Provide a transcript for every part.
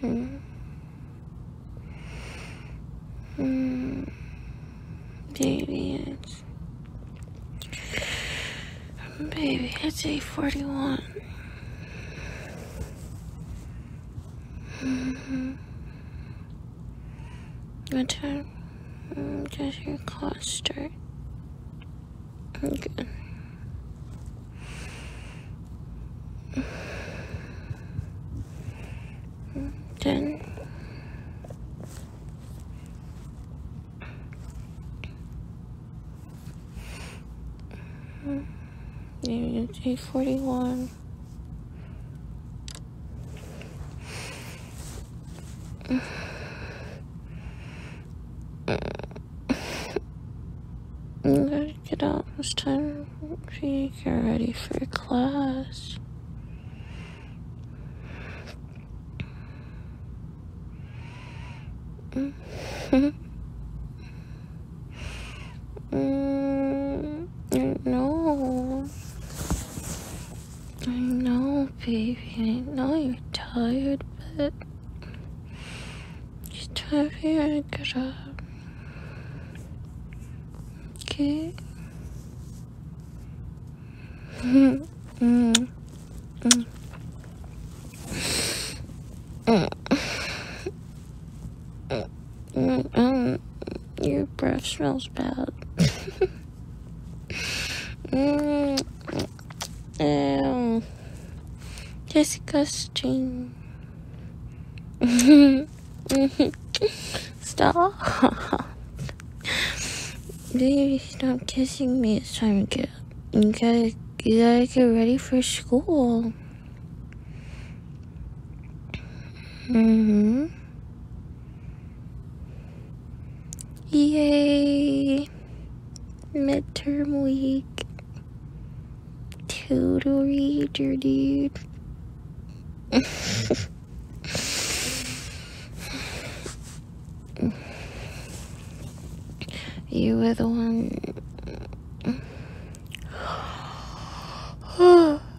Hmm. Mm. Baby, it's baby, it's eight forty one. Mm -hmm. What time? Just mm, your clock start? Okay. Then mm, you take forty one again. Get out. It's time for you to get ready for class. mm, no. I know, baby. I know you're tired, but it's time for you to get up. Okay? -hmm. -hmm. -hmm. Mm, mm Your breath smells bad. Mmm, Ew. Disgusting. Stop. Baby, stop kissing me. It's time to get. You gotta, you gotta get ready for school. hmm Yay! Midterm week. Total reader, dude. you were the one.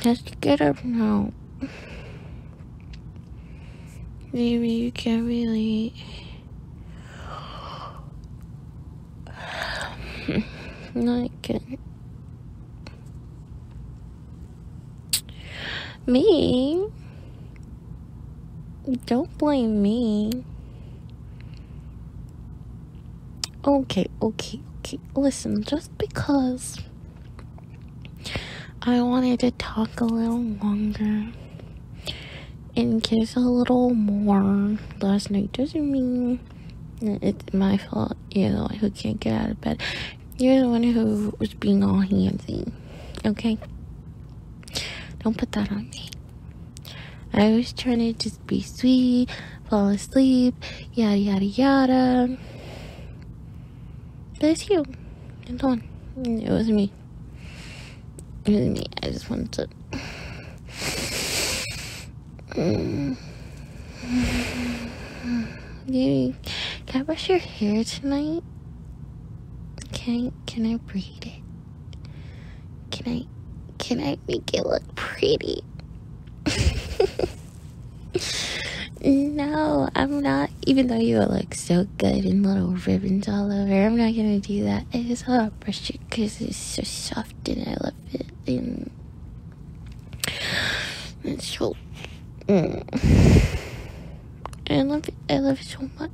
Just get up now. Maybe you can not really. Not good. Me? Don't blame me. Okay, okay, okay. Listen, just because I wanted to talk a little longer and kiss a little more last night. Doesn't mean it's my fault. you know, the who can't get out of bed. You're the one who was being all handsy. Okay? Don't put that on me. I was trying to just be sweet fall asleep, yada yada yada. But it's you. It's on. It was me. It was me. I just wanted to. can I brush your hair tonight? Can I, can I braid it? Can I can I make it look pretty? no, I'm not. Even though you look so good in little ribbons all over, I'm not gonna do that. I just love to because it's so soft and I love it. And it's so. Mm. I love it. I love it so much.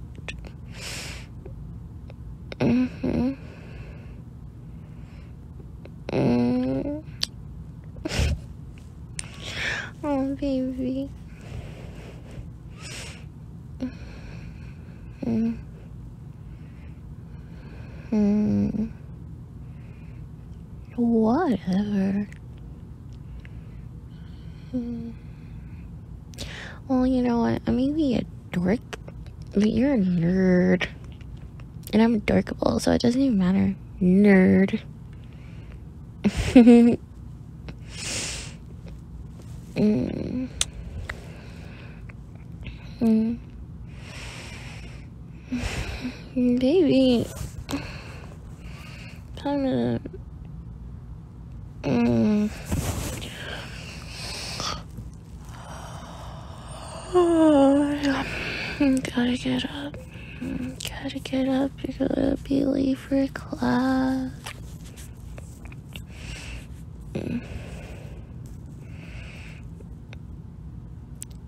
hmm. Mm. oh, baby. Mm. Mm. Whatever. Well, you know what? I mean, be a dork, but you're a nerd. And I'm adorkable, so it doesn't even matter. Nerd. mm. Mm. Baby. Time to. Mm. Oh, yeah. gotta get up. Gotta get up, you're gonna be late for class.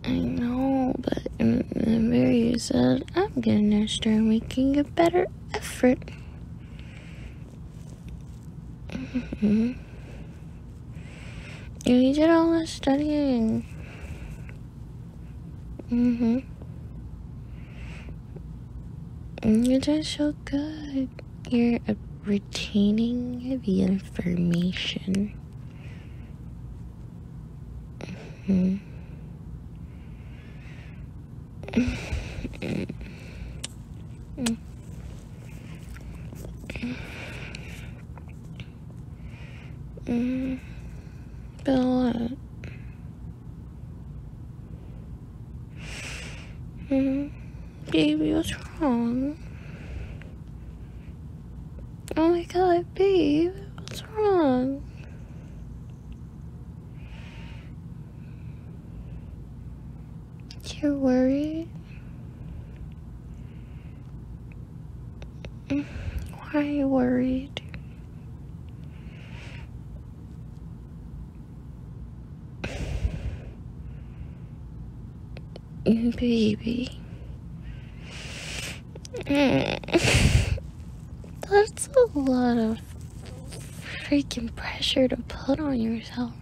I know, but remember you said I'm getting gonna we can get better effort. Mm -hmm. You did all the studying. Mm-hmm. You're doing so good. You're retaining the information. Mm-hmm. mm-hmm. Mm, been a mm-hmm. baby, what's wrong? Oh my god, babe, what's wrong? You're worried? Why are you worried? Baby. That's a lot of freaking pressure to put on yourself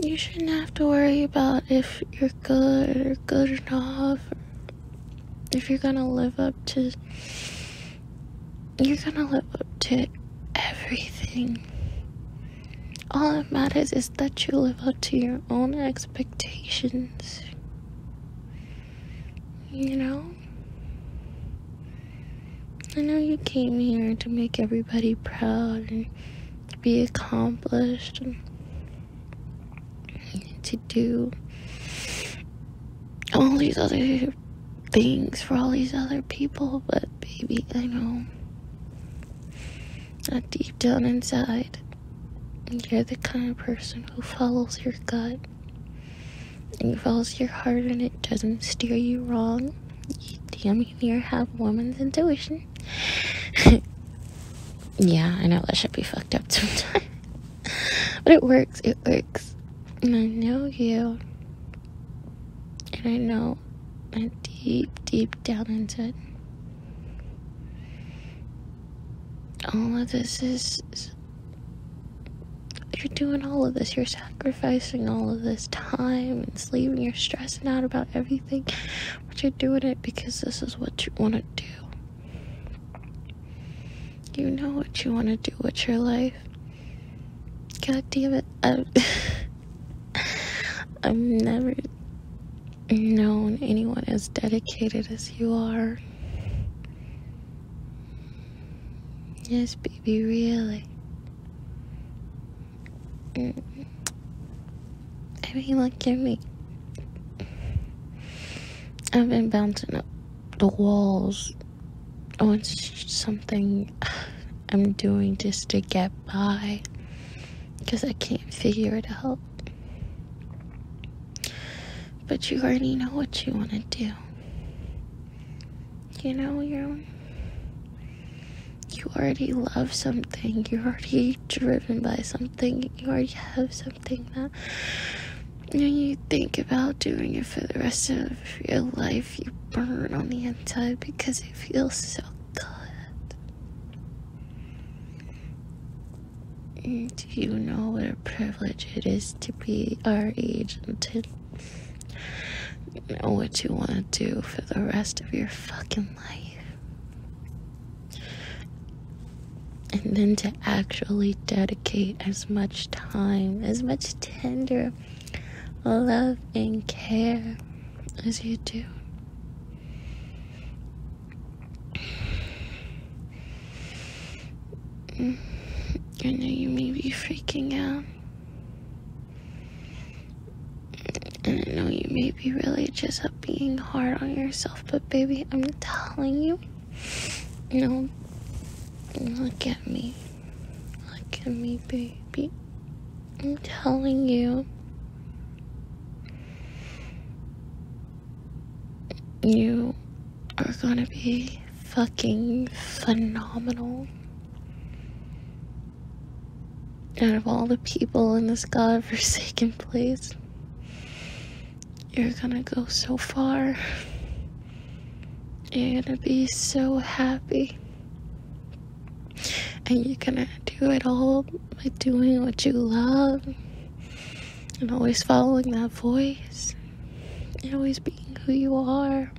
you shouldn't have to worry about if you're good or good enough if you're gonna live up to you're gonna live up to everything all that matters is that you live up to your own expectations you know i know you came here to make everybody proud to be accomplished to do all these other things for all these other people, but baby, I know that deep down inside, you're the kind of person who follows your gut and follows your heart and it doesn't steer you wrong. You damn near have woman's intuition. yeah, I know that should be fucked up sometimes. but it works, it works. And I know you. And I know that deep, deep down inside. All of this is you're doing all of this. You're sacrificing all of this time and sleep and you're stressing out about everything but you're doing it because this is what you want to do. You know what you want to do with your life. God damn it. I've, I've never known anyone as dedicated as you are. Yes, baby, really. Everyone give me. I've been bouncing up the walls on something I'm doing just to get by because I can't figure it out. But you already know what you want to do. You know, you're you already love something, you're already driven by something, you already have something that when you think about doing it for the rest of your life, you burn on the inside because it feels so good. Do you know what a privilege it is to be our age and to know what you want to do for the rest of your fucking life. And then to actually dedicate as much time, as much tender love and care as you do. I know you may be freaking out. I know you may be really just up being hard on yourself, but baby, I'm telling you, you know, look at me. Look at me, baby. I'm telling you. You are gonna be fucking phenomenal. Out of all the people in this god-forsaken place, you're gonna go so far. You're gonna be so happy. And you're gonna do it all by doing what you love and always following that voice and always being who you are.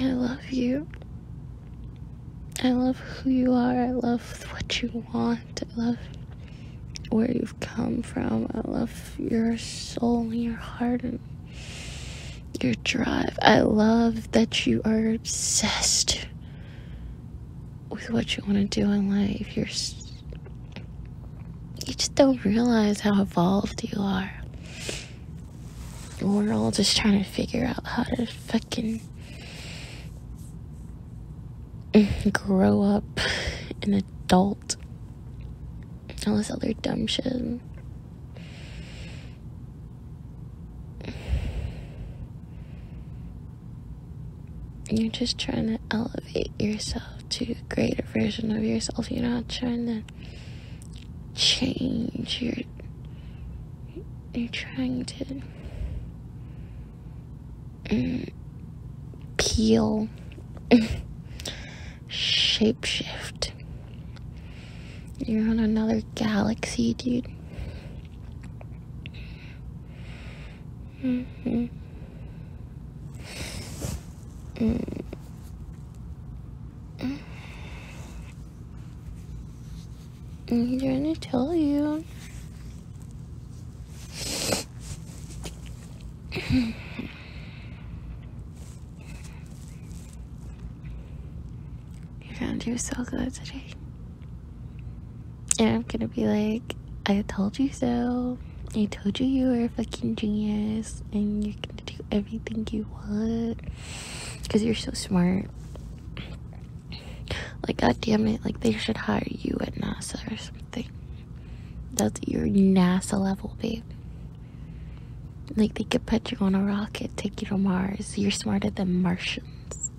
I love you. I love who you are. I love what you want. I love where you've come from. I love your soul and your heart and your drive. I love that you are obsessed with what you want to do in life. You're you just don't realize how evolved you are we're all just trying to figure out how to fucking grow up an adult all this other dumb shit you're just trying to elevate yourself to a greater version of yourself you're not trying to change. You're, trying to mm, peel, shapeshift. You're on another galaxy, dude. Mm-hmm. Mm. I'm going to tell you. you found you so good today. And I'm gonna be like, I told you so. I told you you were a fucking genius. And you're do everything you want because you're so smart. Like, god damn it, like they should hire you at NASA or something. That's your NASA level, babe. Like, they could put you on a rocket, take you to Mars. You're smarter than Martians.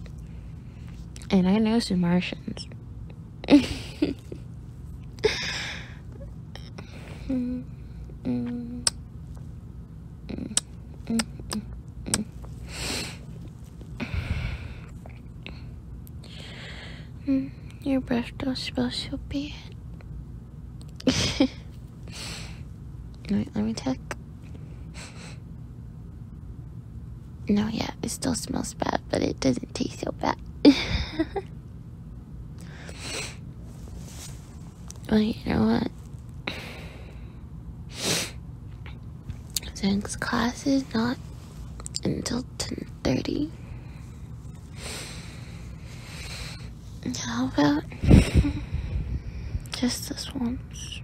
And I know some Martians. Mm, mm, mm, mm, your breath don't smell so bad. Wait, let me check. No, yeah, it still smells bad, but it doesn't taste so bad. Well, you know what? Since class is not until 10.30. How about just this once?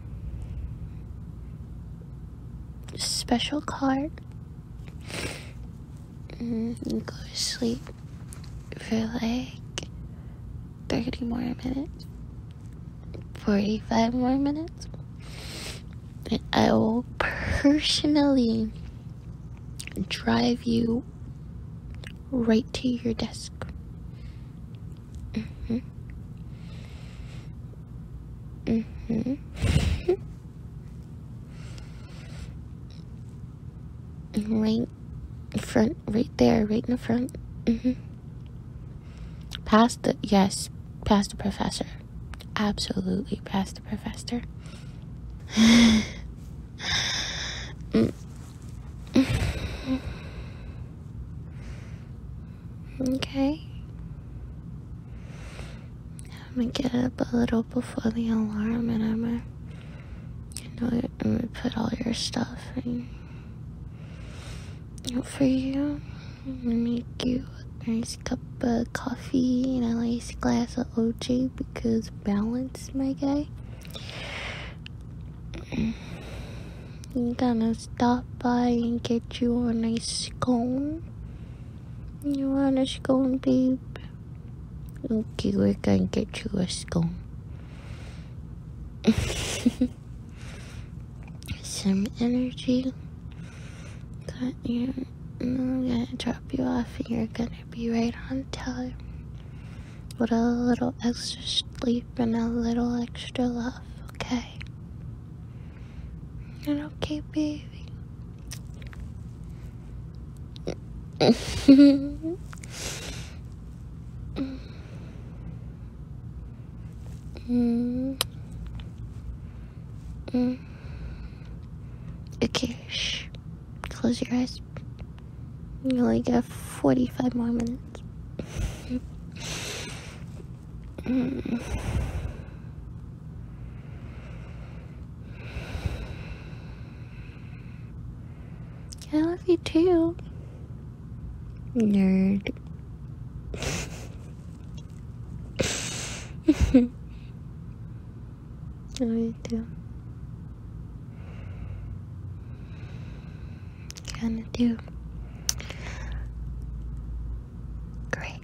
Special card. And mm, go to sleep for like 30 more minutes, 45 more minutes. And I will personally drive you right to your desk. Mm-hmm. Mm-hmm. right front, right there, right in the front. Mm-hmm. Past the, yes, past the professor. Absolutely past the professor. okay. I'm gonna get up a little before the alarm, and I'm gonna, you know, I'm gonna put all your stuff in, for you. I'm going make you a nice cup of coffee and a nice glass of OJ because balance, my guy. I'm gonna stop by and get you a nice scone. You want a scone, babe? Okay, we're gonna get you a school. Some energy. Got you. I'm gonna drop you off, and you're gonna be right on time. With a little extra sleep and a little extra love, okay? And okay, baby mm. Mm. Okay, shh. Close your eyes. You only got 45 more minutes. mm. I love you too. Nerd. I do. you too. do great.